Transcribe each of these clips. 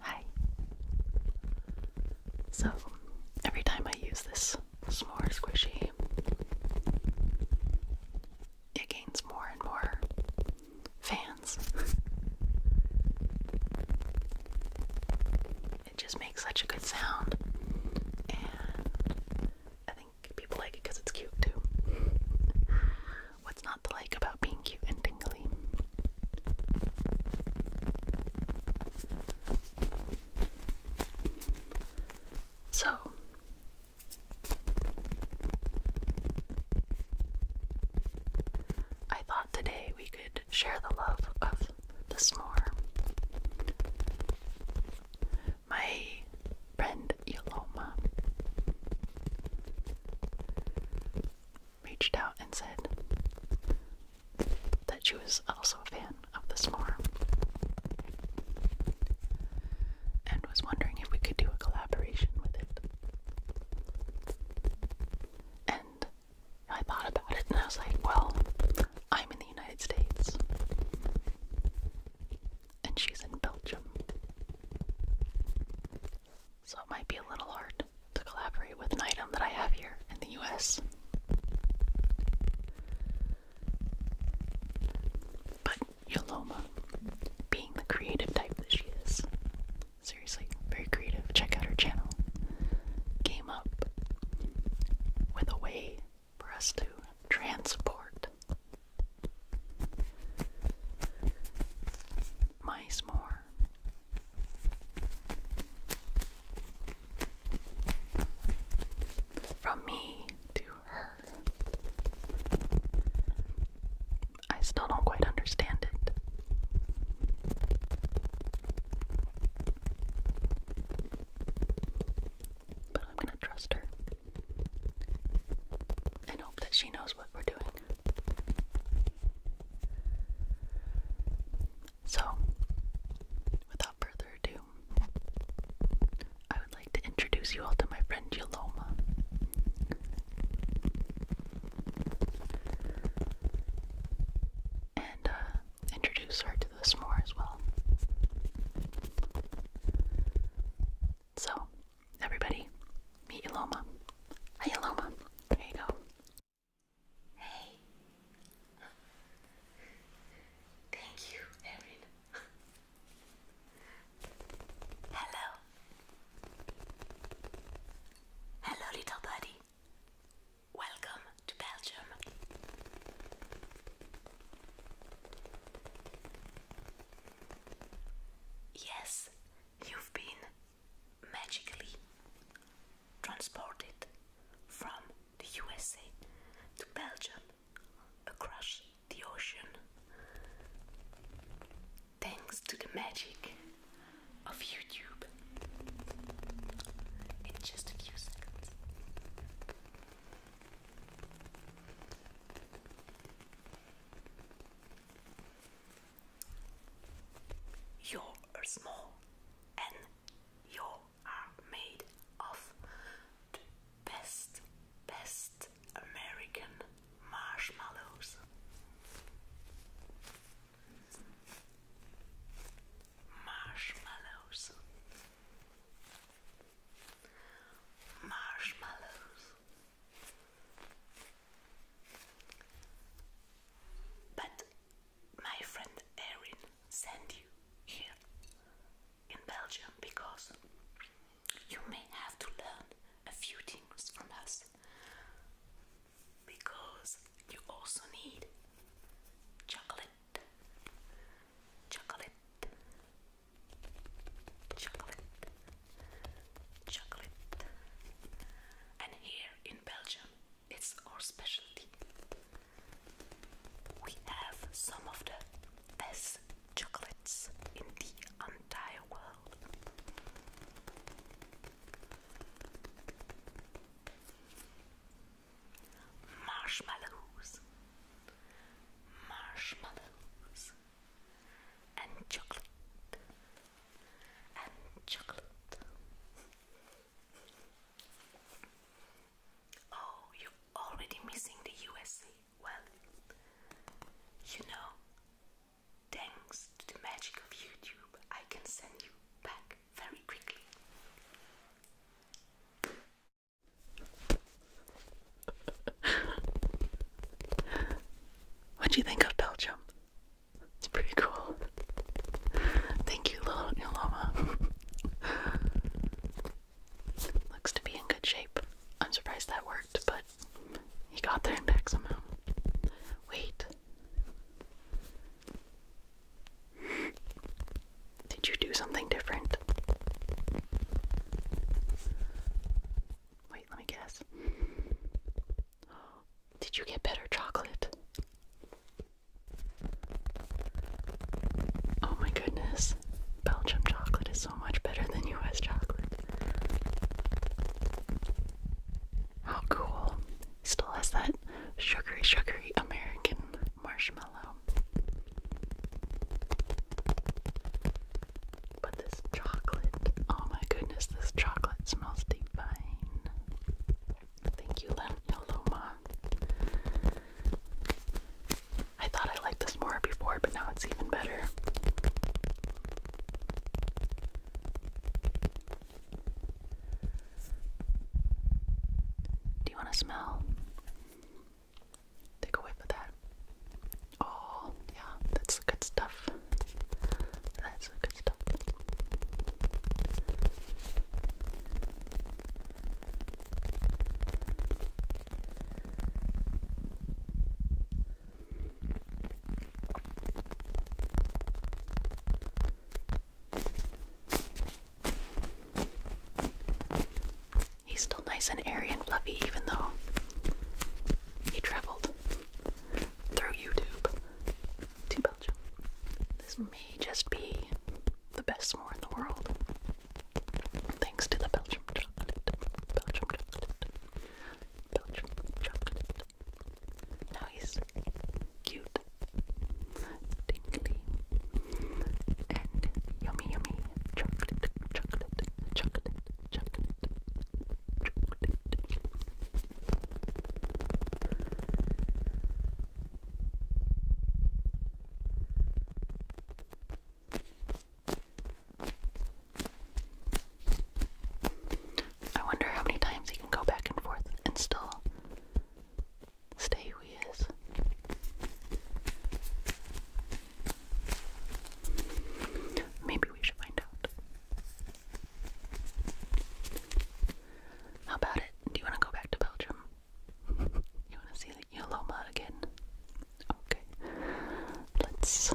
Hi. So, every time I use this s'more squishy, it gains more and more fans. it just makes such a good sound, and I think people like it because it's cute too. What's not to like about being cute and tingly? So, I thought today we could share the love of the s'more. My Brand Yoloma reached out and said that she was also a fan of this farm and was wondering if we could do a collaboration with it. And I thought about it and I was like, well, I'm in the United States and she's in Belgium. So it might be a little hard to collaborate with an item that I have here in the US. But Yoloma, being the creative type that she is, seriously, very creative, check out her channel, came up with a way for us to transport my s'more. From me to her. I still don't quite understand it. But I'm gonna trust her and hope that she knows what we're doing. So, without further ado, I would like to introduce you all to my friend Yoloma. And uh, introduce her to the more as well. So, everybody, meet Iloma. Hi, Iloma. There you go. Hey. Thank you, Erin. Hello. Hello, little buddy. Welcome to Belgium. Yes, you've been magically transported from the USA to Belgium across the ocean thanks to the magic of YouTube in just a few seconds. You are small and you are made of the best, best American marshmallows. Marshmallows. Marshmallows. But my friend Erin sent you here in Belgium because you may have to learn a few things from us because you also need chocolate chocolate chocolate, chocolate. And here in Belgium, it's our specialty. We have some of the best chocolates in the entire world. Marshmallows, marshmallows and chocolate and chocolate. Oh, you're already missing the USA. Well, you know, thanks to the magic of YouTube, I can send you back very quickly what do you think of Belgium? It's pretty cool. Thank you, little Niloma. Looks to be in good shape. I'm surprised that worked, but he got there and back somehow. Wait. Did you do something different? Wait, let me guess. Did you get better chocolate? Oh my goodness. Belgium chocolate is so much better than US chocolate. How cool. Still has that sugary, sugary American marshmallow but this chocolate, oh my goodness, this chocolate smells divine. Thank you, Loma. I thought I liked this more before, but now it's even better. Do you want to smell? Take a whiff of that. Oh, yeah, that's good stuff. That's good stuff. He's still nice and airy and fluffy, even though he traveled through YouTube to Belgium. This may just be the best s'more in the world, thanks to the Belgium chocolate. Belgium chocolate. Belgium chocolate. Now he's cute. And yummy, yummy chocolate, chocolate, chocolate, chocolate, chocolate. I wonder how many times you can go back and forth and still stay who he is. Maybe we should find out. How about it? Do you want to go back to Belgium? You want to see Yoloma again? Okay. Let's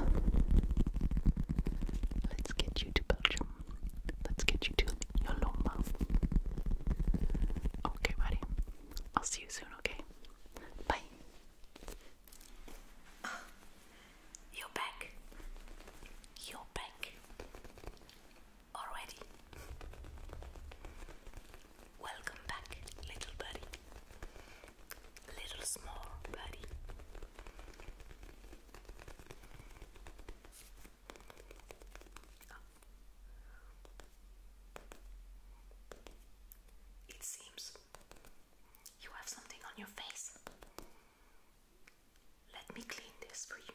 let's get you to Belgium. Let's get you to Yoloma. Okay, buddy. I'll see you soon, okay? Bye. Uh, you're back. You're back. Already. Welcome back, little buddy. Little small buddy. It seems you have something on your face. Let me clean this for you.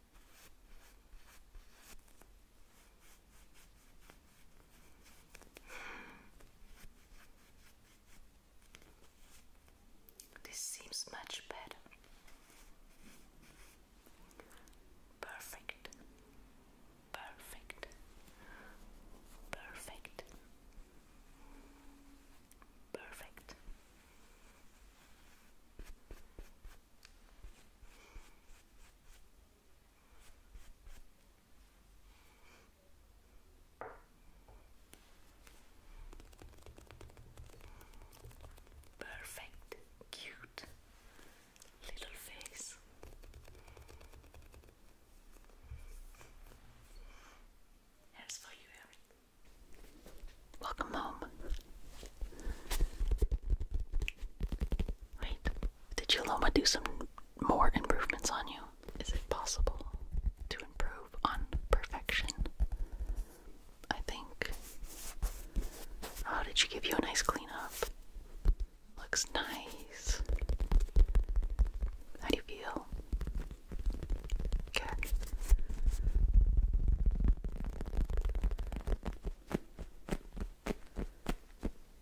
This seems much better. Perfect. Perfect. Perfect. Perfect. Perfect, cute little face. Here's for you, Welcome home. Wait, did Yoloma do some more improvements on you? Is it possible to improve on perfection? I think. Oh, did she give you a nice cleanup? Looks nice. How do you feel? Good.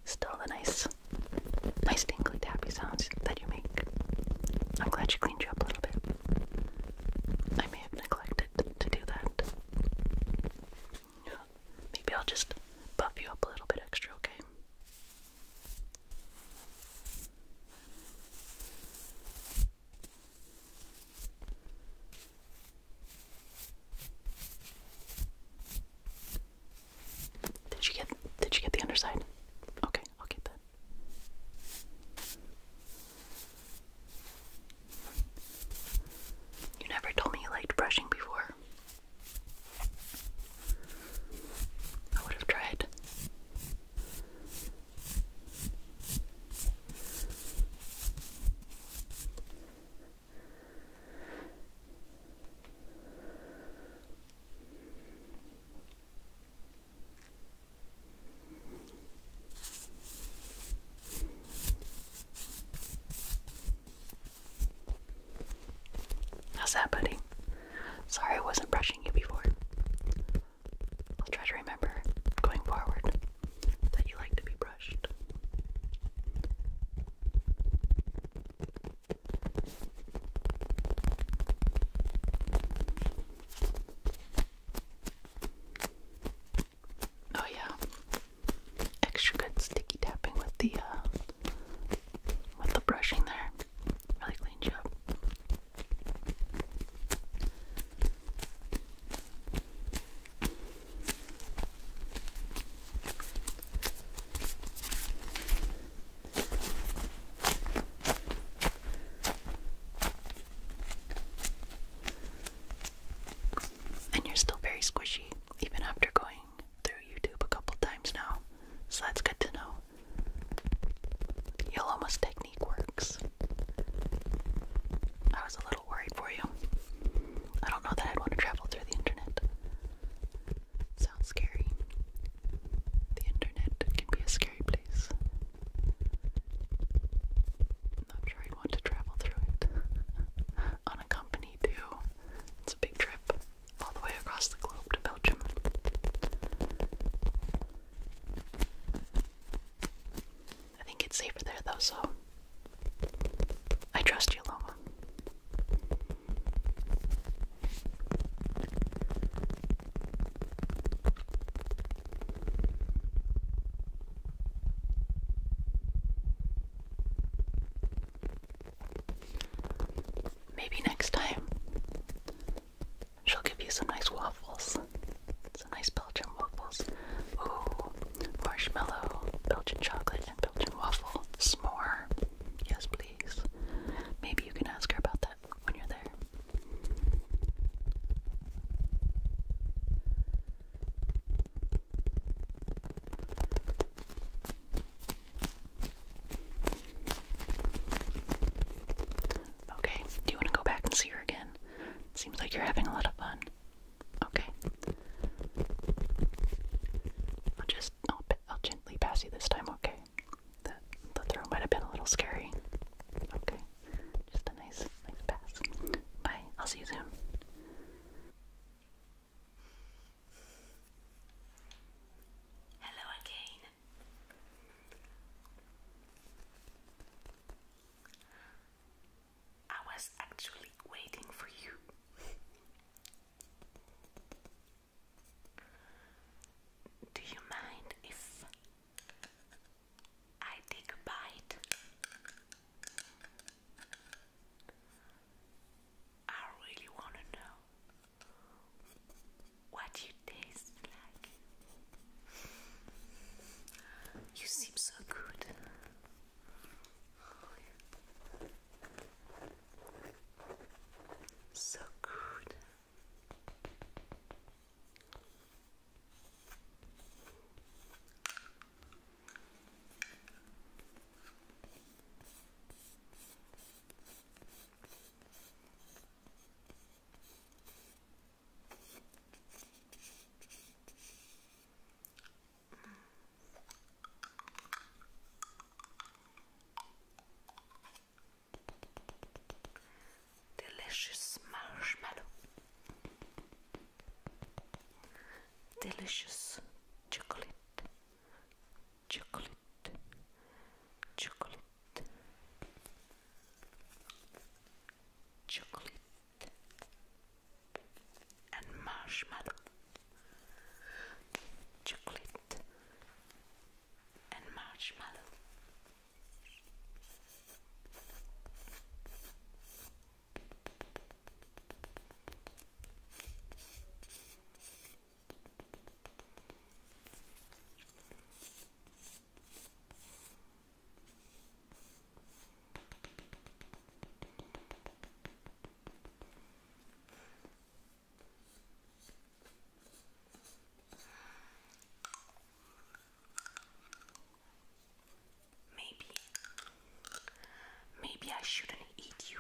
Still the nice, nice tingly tappy sounds that you make. I'm glad you cleaned you up a little bit. I may have neglected to do that. Maybe I'll just buff you up a little bit extra, okay? Did you get did you get the underside? Okay, I'll get that. You never told me you liked brushing before. I would have tried. How's that, buddy? Sorry I wasn't brushing you before. I'll try to remember going forward that you like to be brushed. Oh yeah. Extra good sticky tapping with the uh, with the brushing there. Really clean job. And you're still very squishy, even after going through YouTube a couple times now. So that's good to know. you almost technique works. I was a little worried for you. I don't know that I'd want to travel through the internet. Sounds scary. The internet can be a scary place. I'm sure I'd want to travel through it. Unaccompanied, too. It's a big trip. All the way across the globe to Belgium. I think it's safer there though, so I trust you, Loma. Maybe next time she'll give you some nice waffles nice Belgian waffles. Ooh, marshmallow, Belgian chocolate, and Belgian waffle. S'more. Yes, please. Maybe you can ask her about that when you're there. Okay, do you want to go back and see her again? Seems like you're having a lot of fun. Okay. I'll just, I'll, I'll gently pass you this time, okay? The, the throw might have been a little scary. Okay. Just a nice, nice pass. Bye. I'll see you soon. Hello again. I was actually waiting for you. Do you mind if I take a bite? I really want to know what you taste like. You seem so good. So good. Delicious marshmallow, delicious chocolate, chocolate, chocolate, chocolate and marshmallow chocolate and marshmallow Maybe, maybe I shouldn't eat you.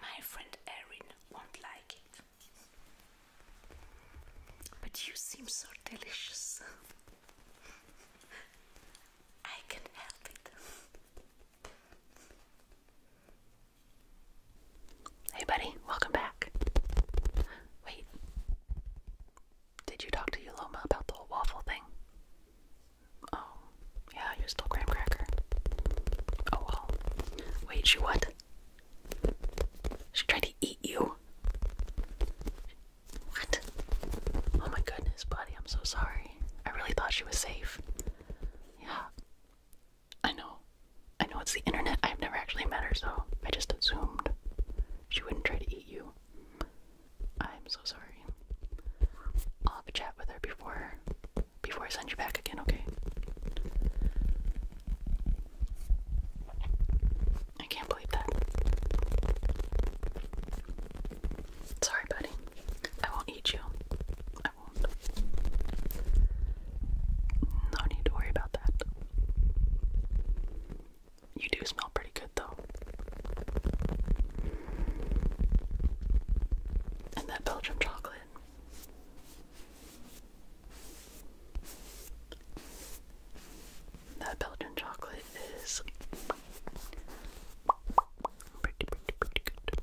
My friend Erin won't like it. But you seem so delicious. I can help it. Hey, buddy, welcome back. Wait, did you talk to Yuloma about the whole waffle thing? Oh, yeah, you're still graham cracker. Oh Wait, you what? She tried to eat you. What? Oh my goodness, buddy, I'm so sorry. I really thought she was safe. Yeah. I know. I know it's the internet. I've never actually met her, so I just assumed she wouldn't try to eat you. I'm so sorry. I'll have a chat with her before before I send you back again, okay? I can't believe that. Sorry, buddy. I won't eat you. I won't. No need to worry about that. You do smell pretty good, though. And that Belgium chocolate. That Belgian chocolate is pretty, pretty, pretty good.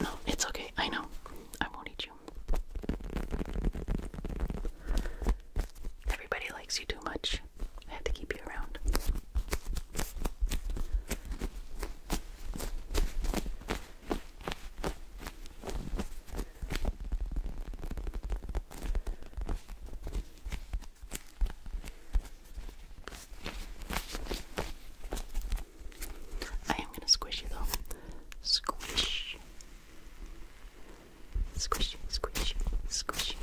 No, it's okay. I know. I won't eat you. Everybody likes you too much. I have to keep you around. I am going to squish you though. Squish. Squishy, squishy, squishy,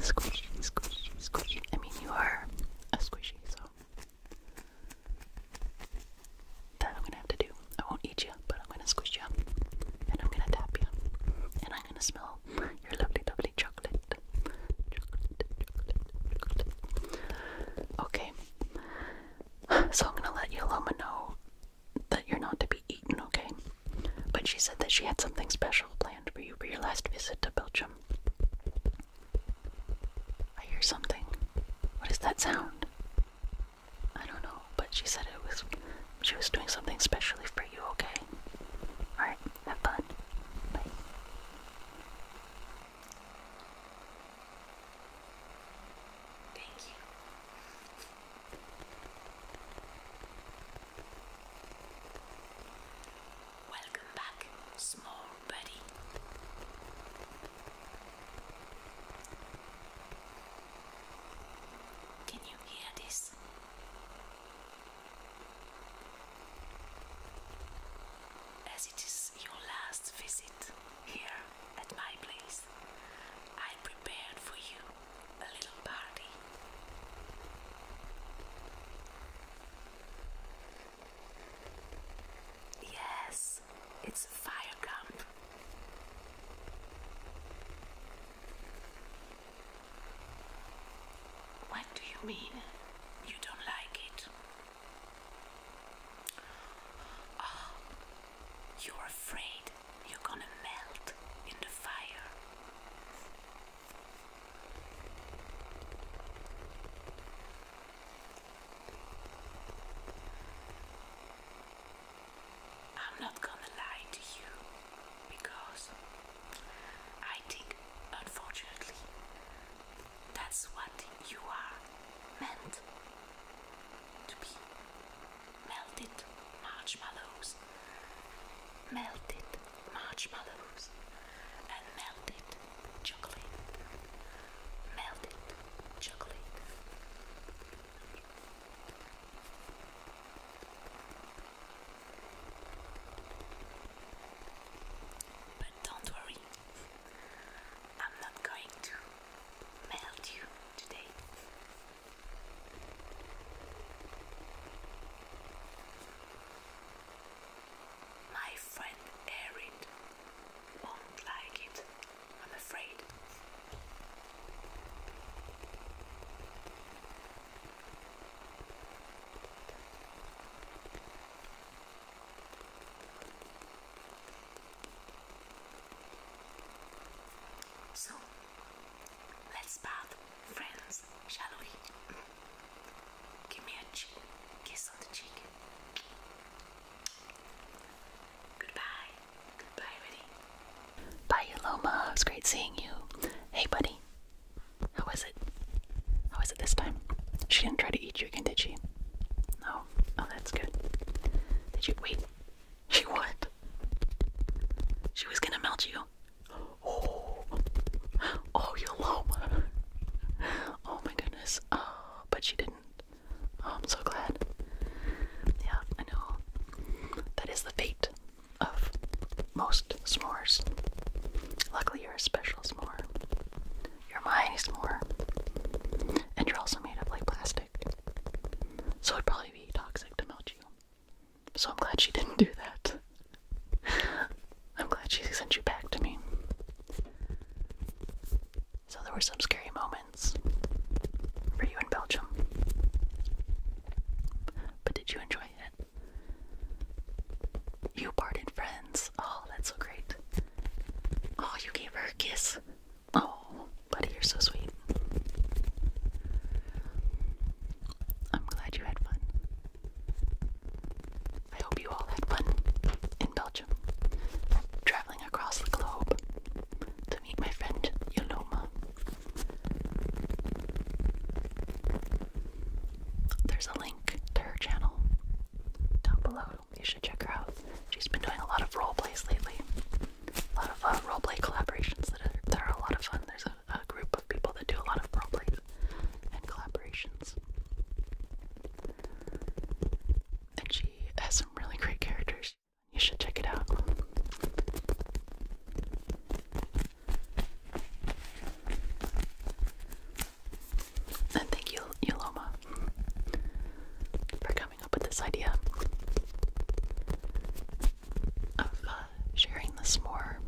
squishy, squishy, squishy. I mean, you are a squishy, so that I'm gonna have to do. I won't eat you, but I'm gonna squish you, and I'm gonna tap you, and I'm gonna smell your lovely, lovely chocolate, chocolate, chocolate, chocolate. Okay, so I'm gonna let Yoloma know that you're not to be eaten, okay? But she said that she had something special planned for you for your last visit to Belgium. I hear something. What is that sound? I don't know, but she said it was she was doing something specially for you, okay? Alright, have fun. Bye. Thank you. Welcome back, small buddy. Can you hear this? As it is your last visit here at my place. Yes, I prepared for you a little party. Yes, it's a fire camp. What do you mean? You don't like it? Oh, you're afraid you're gonna melt in the fire. I'm not gonna lie to you because I think, unfortunately, that's what you are meant to be melted marshmallows, melted marshmallows, and melted chocolate, melted chocolate. But don't worry, I'm not going to melt you today. My friend Erin won't like it, I'm afraid. So, let's bath, friends, shall we? Give me a cheek, kiss on the cheek. Goodbye. Goodbye, buddy. Bye, Loma. It's great seeing you. Hey, buddy. How was it? How was it this time? She didn't try to eat you again, did she? No, Oh, oh, that's good. Did she wait? She what? She was gonna melt you. Oh, oh, you low. Oh my goodness. Oh, but she didn't. Oh, I'm so glad. Yeah, I know. That is the fate of most s'mores. Luckily, you're a special s'more. You're my s'more. And you're also made of like plastic. So it'd probably be toxic to melt you. So I'm glad she didn't do that. I'm glad she sent you back to me. So there were some scary moments for you in Belgium. But did you enjoy it? You parted friends. Oh, that's so great. Oh, you gave her a kiss. Oh, buddy, you're so sweet. I'm glad you had fun. I hope you all had fun in Belgium, traveling across the globe to meet my friend Yoloma. There's a link to her channel down below you should check her out. She's been doing a lot of role plays lately. A lot of uh, role play collaborations that are, that are a lot of fun. There's a, a group of people that do a lot of role plays and collaborations. And she has some really great characters. You should check it out. And thank you, Yoloma, for coming up with this idea of uh, sharing this more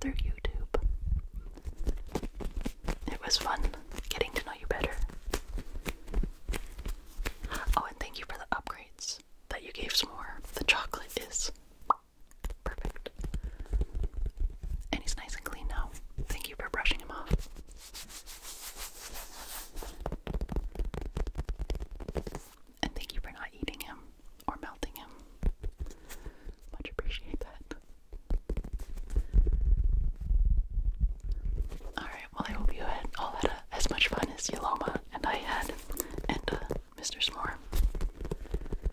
through YouTube. It was fun getting to know you better. Oh, and thank you for the upgrades that you gave S'more. The chocolate is perfect. And he's nice and clean now. Thank you for brushing him off. And thank you for not eating him or melting him. Much appreciate that. Alright, well, I hope you had all that as much fun as Yoloma and I had, and uh, Mr. S'more.